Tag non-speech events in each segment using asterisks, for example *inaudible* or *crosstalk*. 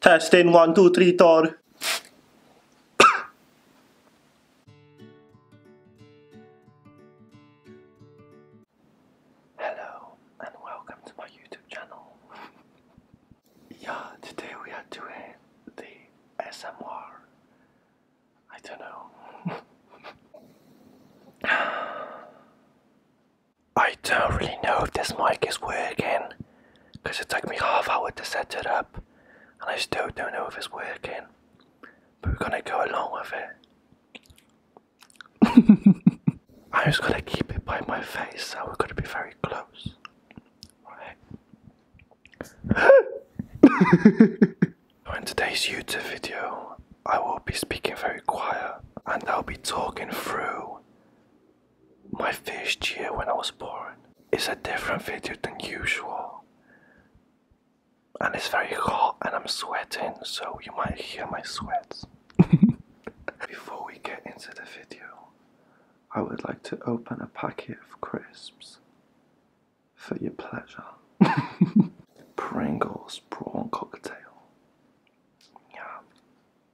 Testing one, two, three, Thor. Hello and welcome to my YouTube channel. yeah, today we are doing the SMR. I don't know. *laughs* I don't really know if this mic is working because it took me half hour to set it up and I still don't know if it's working. But we're gonna go along with it. *laughs* I'm just gonna keep it by my face so we're gonna be very close. *laughs* in today's YouTube video, I will be speaking very quiet and I'll be talking through my first year when I was born is a different video than usual. And it's very hot and I'm sweating, so you might hear my sweats. *laughs* Before we get into the video, I would like to open a packet of crisps for your pleasure. *laughs* Pringles prawn cocktail. Yeah.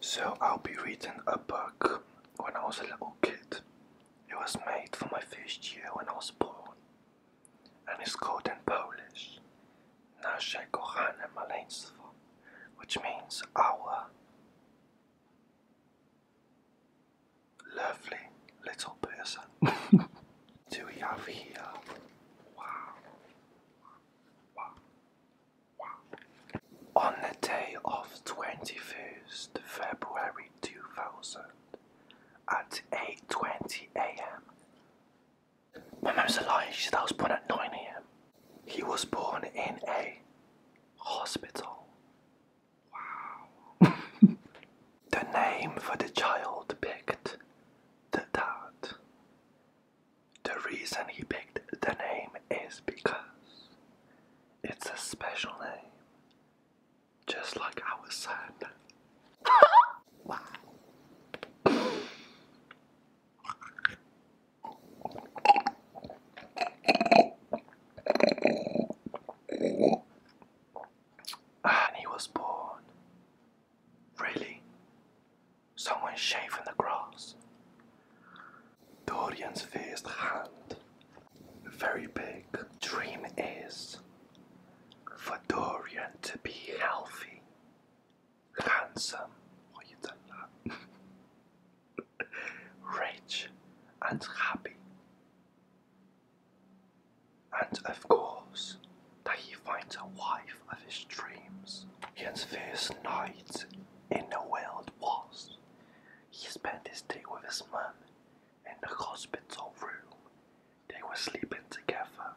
so I'll be reading a book when I was a little kid. It was made for my first year when I was born and it's called in Polish Nasze kochane which means our Lovely little person. *laughs* Do we have here? Wow. Wow. Wow. On the day of 21st February 2000 at 8.20 a.m. My mum's alive, she said I was born at 9 a.m. He was born in a hospital Wow. *laughs* the name for the child picked the dad. The reason he picked the name is because it's a special name, just like our son. *laughs* wow. And he was born. Really? Someone shaving the grass. Dorian's first hand. Very big. Dream is for Dorian to be healthy, handsome, or you do *laughs* rich and happy. And of course, that he finds a wife of his dreams. His first night in the world was he spent his day with his mum in the hospital room. They were sleeping together,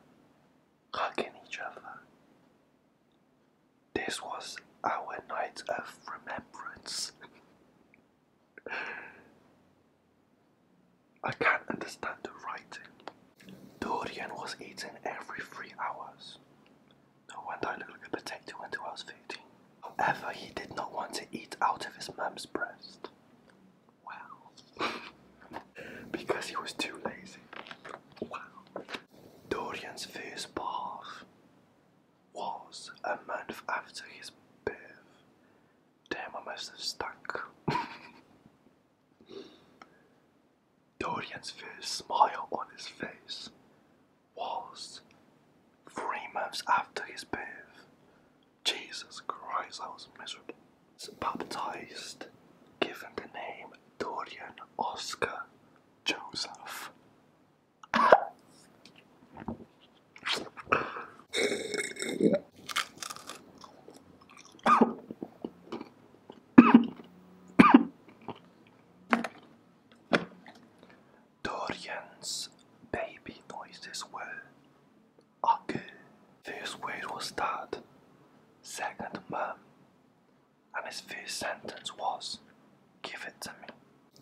hugging each other, this was our night of remembrance. I can't understand the writing. Dorian was eating every three hours. No wonder I look like a potato when I was 15. However, he did not want to eat out of his mum's breast. Wow. *laughs* because he was too lazy. Wow. Dorian's first bath was a month after his birth. Damn, I must have stunk. *laughs* Dorian's first smile on his face was three months after his birth. Jesus Christ, I was miserable. Baptized, given the name Dorian Oscar Joseph. Dorian's baby noises were okay. First word was dad. Second mum and his first sentence was, Give it to me.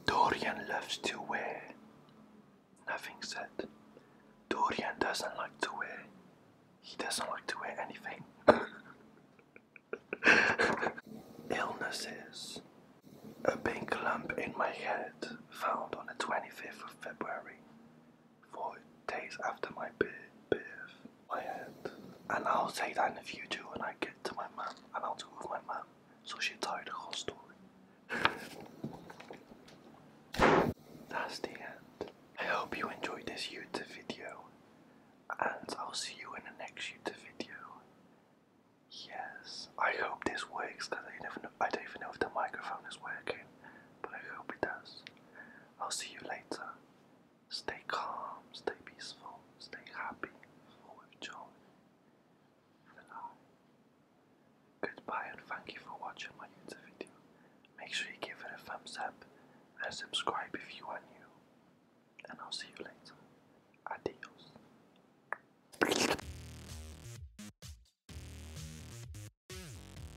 Dorian loves to wear. Nothing said. Dorian doesn't like to wear. He doesn't like to wear anything. *laughs* Illnesses. A pink lump in my head found on the 25th of February for days after my birth, my head. And I'll say that in the future when I get to my mum and I'll talk with my mum so she'll tell the whole story. That's the end. I hope you enjoyed this YouTube video and I'll see you in the next YouTube video. Yes, I hope this works because I, never know, I don't even know if the microphone is working, but I hope it does. I'll see you later. Stay calm, stay peaceful, stay happy, full joy, the light. Goodbye and thank you for watching my YouTube video. Make sure you give it a thumbs up and subscribe if you are new. And I'll see you later. Adios.